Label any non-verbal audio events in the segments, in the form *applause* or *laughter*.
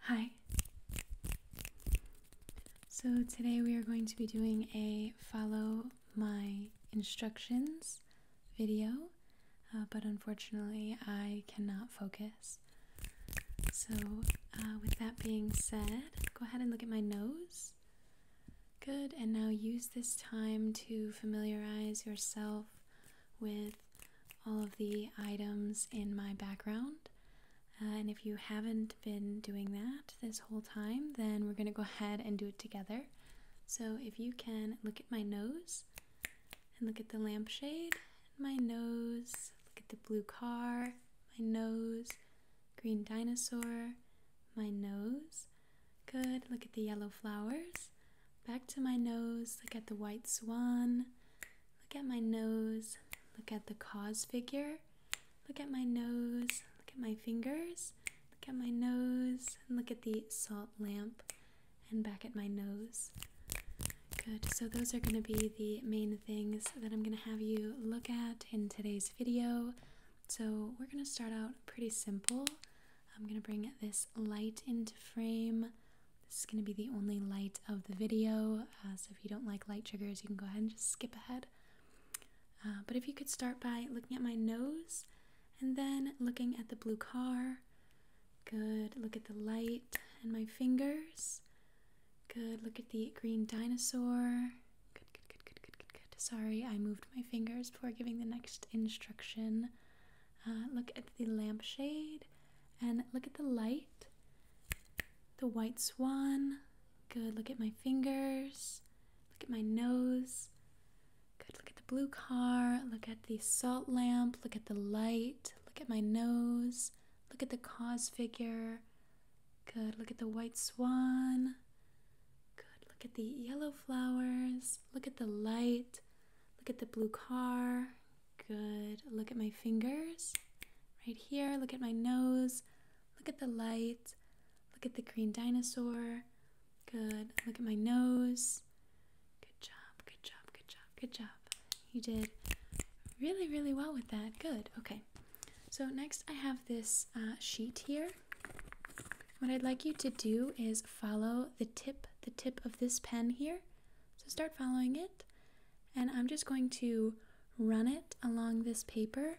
Hi. So, today we are going to be doing a follow my instructions video, uh, but unfortunately, I cannot focus. So, uh, with that being said, go ahead and look at my nose. Good, and now use this time to familiarize yourself with all of the items in my background. Uh, and if you haven't been doing that this whole time, then we're going to go *laughs* ahead and do it together. So if you can look at my nose and look at the lampshade, my nose, look at the blue car, my nose, green dinosaur, my nose, Good. Look at the yellow flowers. Back to my nose. Look at the white swan. Look at my nose. Look at the cause figure. Look at my nose. Look at my fingers. Look at my nose. look at the salt lamp. And back at my nose. Good. So those are going to be the main things that I'm going to have you look at in today's video. So we're going to start out pretty simple. I'm going to bring this light into frame. This is going to be the only light of the video, uh, so if you don't like light triggers, you can go ahead and just skip ahead. Uh, but if you could start by looking at my nose and then looking at the blue car. Good. Look at the light and my fingers. Good. Look at the green dinosaur. Good, good, good, good, good, good, good. Sorry, I moved my fingers before giving the next instruction. Uh, look at the lampshade and look at the light, the white swan. Good. Look at my fingers. Look at my nose. Good. Look at the blue car. Look at the salt lamp. Look at the light. Look at my nose. Look at the cause figure. Good. Look at the white swan. Good. Look at the yellow flowers. Look at the light. Look at the blue car. Good. Look at my fingers right here. Look at my nose. Look at the light. Look at the green dinosaur. Good. Look at my nose. Good job. Good job. Good job. Good job. You did really, really well with that. Good. Okay. So next I have this uh, sheet here. What I'd like you to do is follow the tip, the tip of this pen here. So start following it. And I'm just going to run it along this paper.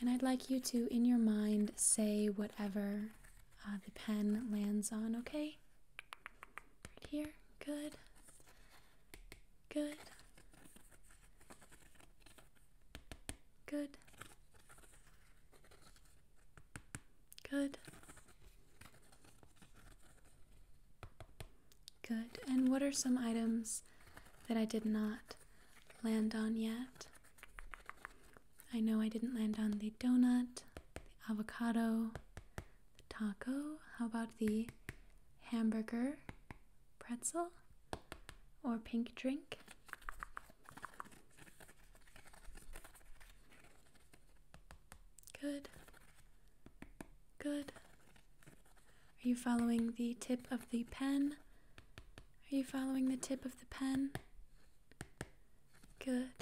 And I'd like you to, in your mind, say whatever uh, the pen lands on, okay? here, good, good, Good. Good. Good. And what are some items that I did not land on yet? I know I didn't land on the donut, the avocado, the taco. How about the hamburger, pretzel, or pink drink? Good. Good. Are you following the tip of the pen? Are you following the tip of the pen? Good.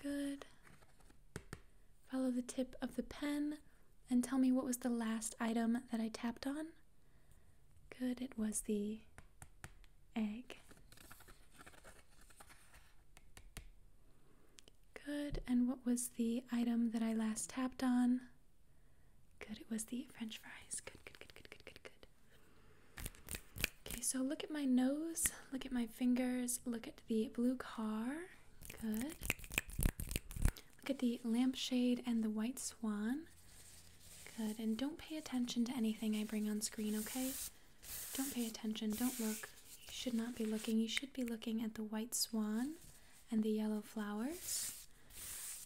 Good. Follow the tip of the pen and tell me what was the last item that I tapped on? Good, it was the egg. Good, and what was the item that I last tapped on? Good, it was the french fries. Good, good, good, good, good, good, good. Okay, so look at my nose, look at my fingers, look at the blue car. Good. Look at the lampshade and the white swan. Good. And don't pay attention to anything I bring on screen, okay? Don't pay attention. Don't look. You should not be looking. You should be looking at the white swan and the yellow flowers.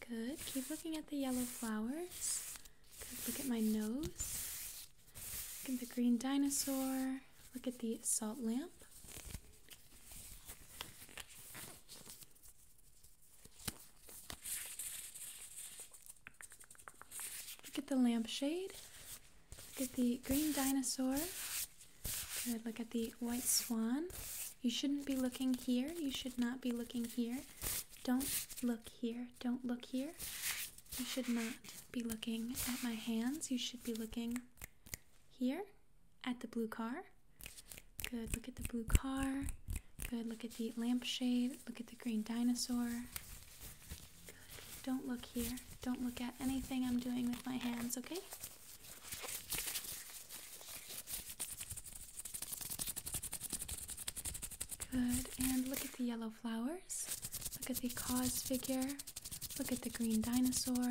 Good. Keep looking at the yellow flowers. Look at my nose. Look at the green dinosaur. Look at the salt lamp. Look at the lampshade. Look at the green dinosaur. Look at the white swan. You shouldn't be looking here. You should not be looking here. Don't look here. Don't look here. You should not be looking at my hands. You should be looking here at the blue car. Good, look at the blue car. Good, look at the lampshade. Look at the green dinosaur. Don't look here. Don't look at anything I'm doing with my hands, okay? Good, and look at the yellow flowers. Look at the cause figure. Look at the green dinosaur.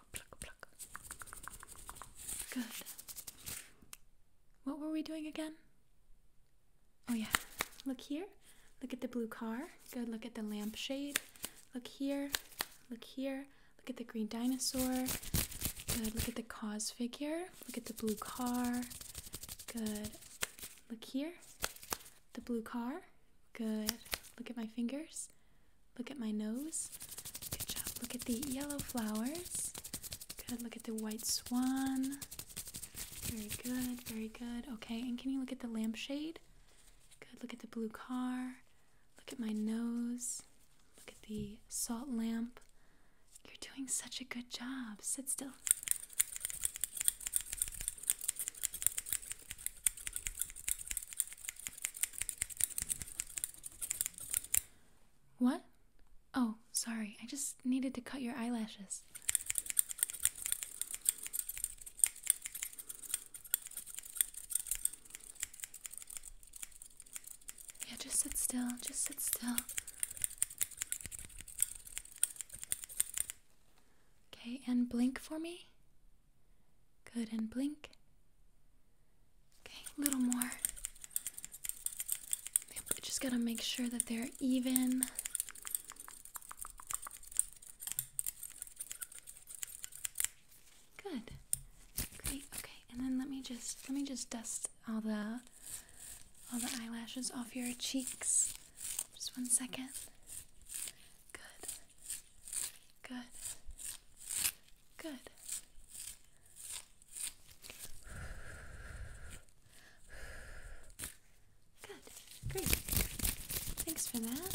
Good. What were we doing again? Oh, yeah. Look here. Look at the blue car. Good. Look at the lampshade. Look here. Look here. Look at the green dinosaur. Good. Look at the cause figure. Look at the blue car. Good. Look here. The blue car. Good. Look at my fingers. Look at my nose. Good job. Look at the yellow flowers. Good. Look at the white swan. Very good. Very good. Okay. And can you look at the lampshade? Good. Look at the blue car. Look at my nose. Look at the salt lamp. You're doing such a good job. Sit still. What? Oh, sorry. I just needed to cut your eyelashes. Yeah, just sit still. Just sit still. Okay, and blink for me. Good, and blink. Okay, a little more. I just gotta make sure that they're even. Good. Great. Okay, and then let me just let me just dust all the all the eyelashes off your cheeks. Just one second. Good. Good. Good. Good. Great. Thanks for that.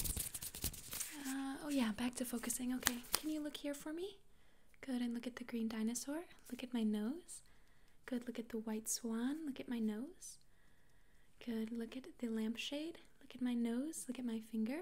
Uh, oh, yeah, back to focusing. Okay, can you look here for me? Good, and look at the green dinosaur. Look at my nose. Good, look at the white swan. Look at my nose. Good, look at the lampshade. Look at my nose. Look at my finger.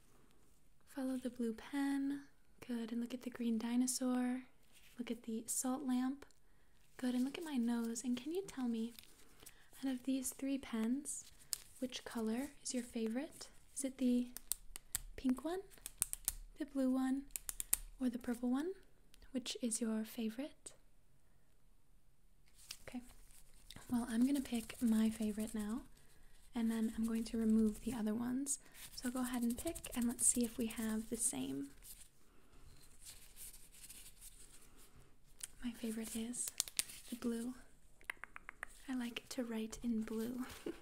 Follow the blue pen. Good. And look at the green dinosaur. Look at the salt lamp. Good. And look at my nose. And can you tell me, out of these three pens, which color is your favorite? Is it the pink one, the blue one, or the purple one? Which is your favorite? Okay. Well, I'm going to pick my favorite now and then I'm going to remove the other ones. So go ahead and pick and let's see if we have the same. My favorite is the blue. I like to write in blue. *laughs*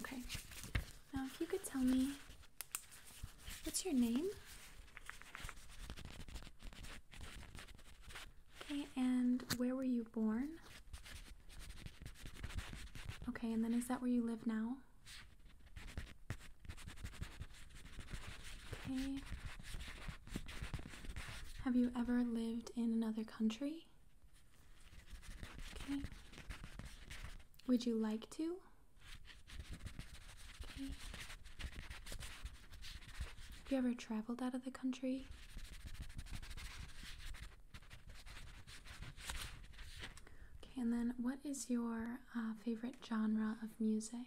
okay, now if you could tell me, what's your name? Okay, and where were you born? Okay, and then is that where you live now? Okay. Have you ever lived in another country? Okay. Would you like to? Okay. Have you ever traveled out of the country? Okay, and then what is your uh, favorite genre of music?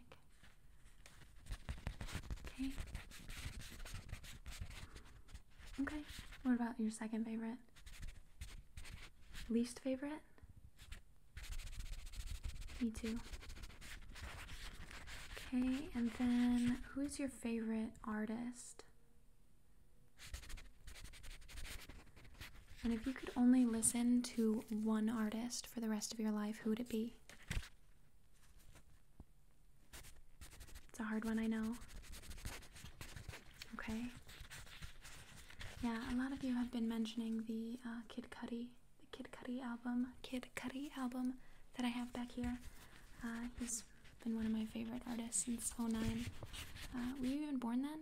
Okay. Okay, what about your second favorite? Least favorite? Me too. Okay, and then who is your favorite artist? And if you could only listen to one artist for the rest of your life, who would it be? It's a hard one, I know. Okay. Yeah, a lot of you have been mentioning the uh, Kid Cudi, the Kid Cudi album, Kid Cudi album that I have back here. Uh, he's been one of my favorite artists since 09. Uh, were you even born then?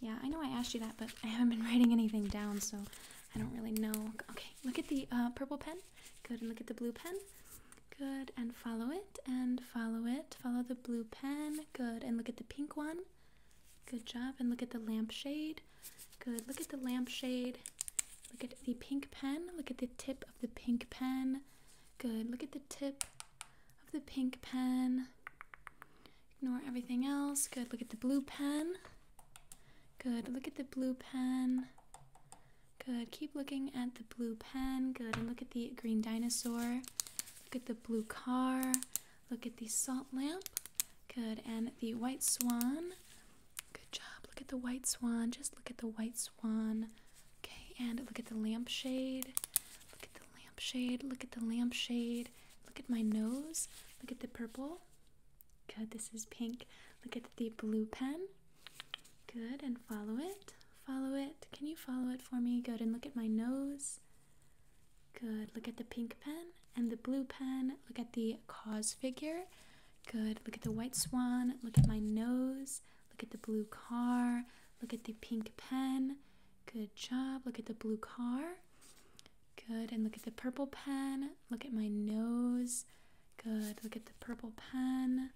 Yeah, I know I asked you that, but I haven't been writing anything down, so I don't really know. Okay, look at the uh, purple pen. Good, and look at the blue pen. Good, and follow it, and follow it. Follow the blue pen. Good, and look at the pink one. Good job, and look at the lampshade. Good, look at the lampshade. Look at the pink pen. Look at the tip of the pink pen. Good. Look at the tip of the pink pen. Ignore everything else. Good. Look at the blue pen. Good. Look at the blue pen. Good. Keep looking at the blue pen. Good. And look at the green dinosaur. Look at the blue car. Look at the salt lamp. Good. And the white swan. Good job. Look at the white swan. Just look at the white swan. Okay, and look at the lampshade. Look at the lampshade. Look at the lampshade. Look at my nose. Look at the purple. Good, this is pink. Look at the blue pen. Good, and follow it. Follow it. Can you follow it for me? Good, and look at my nose. Good, look at the pink pen and the blue pen. Look at the cause figure. Good. Look at the white swan. Look at my nose. Look at the blue car. Look at the pink pen. Good job. Look at the blue car. Good. And look at the purple pen. Look at my nose. Good. Look at the purple pen.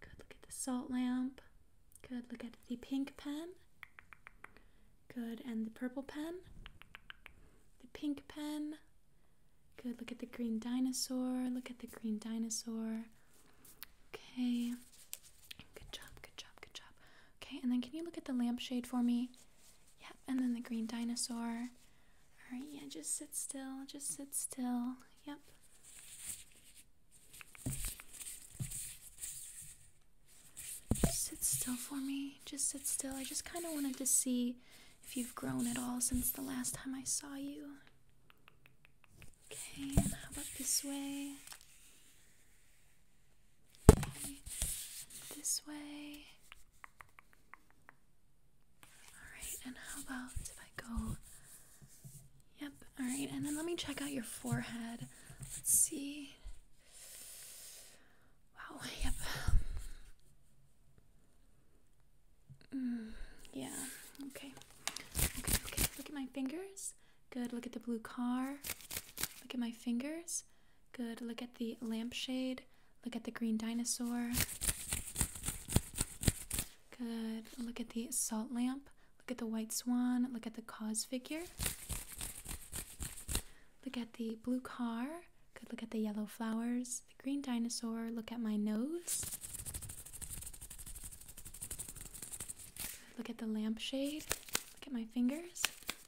Good. Look at the salt lamp. Good. Look at the pink pen. Good. And the purple pen. The pink pen. Good. Look at the green dinosaur. Look at the green dinosaur. Okay. Good job. Good job. Good job. Okay. And then can you look at the lampshade for me? Yep. And then the green dinosaur. All right. Yeah. Just sit still. Just sit still. Yep. sit still for me. Just sit still. I just kind of wanted to see if you've grown at all since the last time I saw you. Okay, how about this way? Okay, this way. Alright, and how about if I go? Yep, alright, and then let me check out your forehead. Let's see. Wow, *laughs* yep. Mm, yeah. Okay. Okay. Okay. Look at my fingers. Good. Look at the blue car. Look at my fingers. Good. Look at the lampshade. Look at the green dinosaur. Good. Look at the salt lamp. Look at the white swan. Look at the cause figure. Look at the blue car. Could look at the yellow flowers, the green dinosaur, look at my nose. Look at the lampshade. Look at my fingers.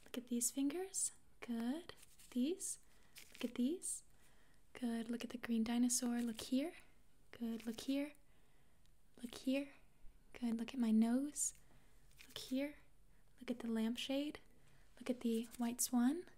Look at these fingers. Good. These. Look at these. Good. Look at the green dinosaur. Look here. Good. Look here. Look here. Good. Look at my nose. Look here. Look at the lampshade. Look at the white swan.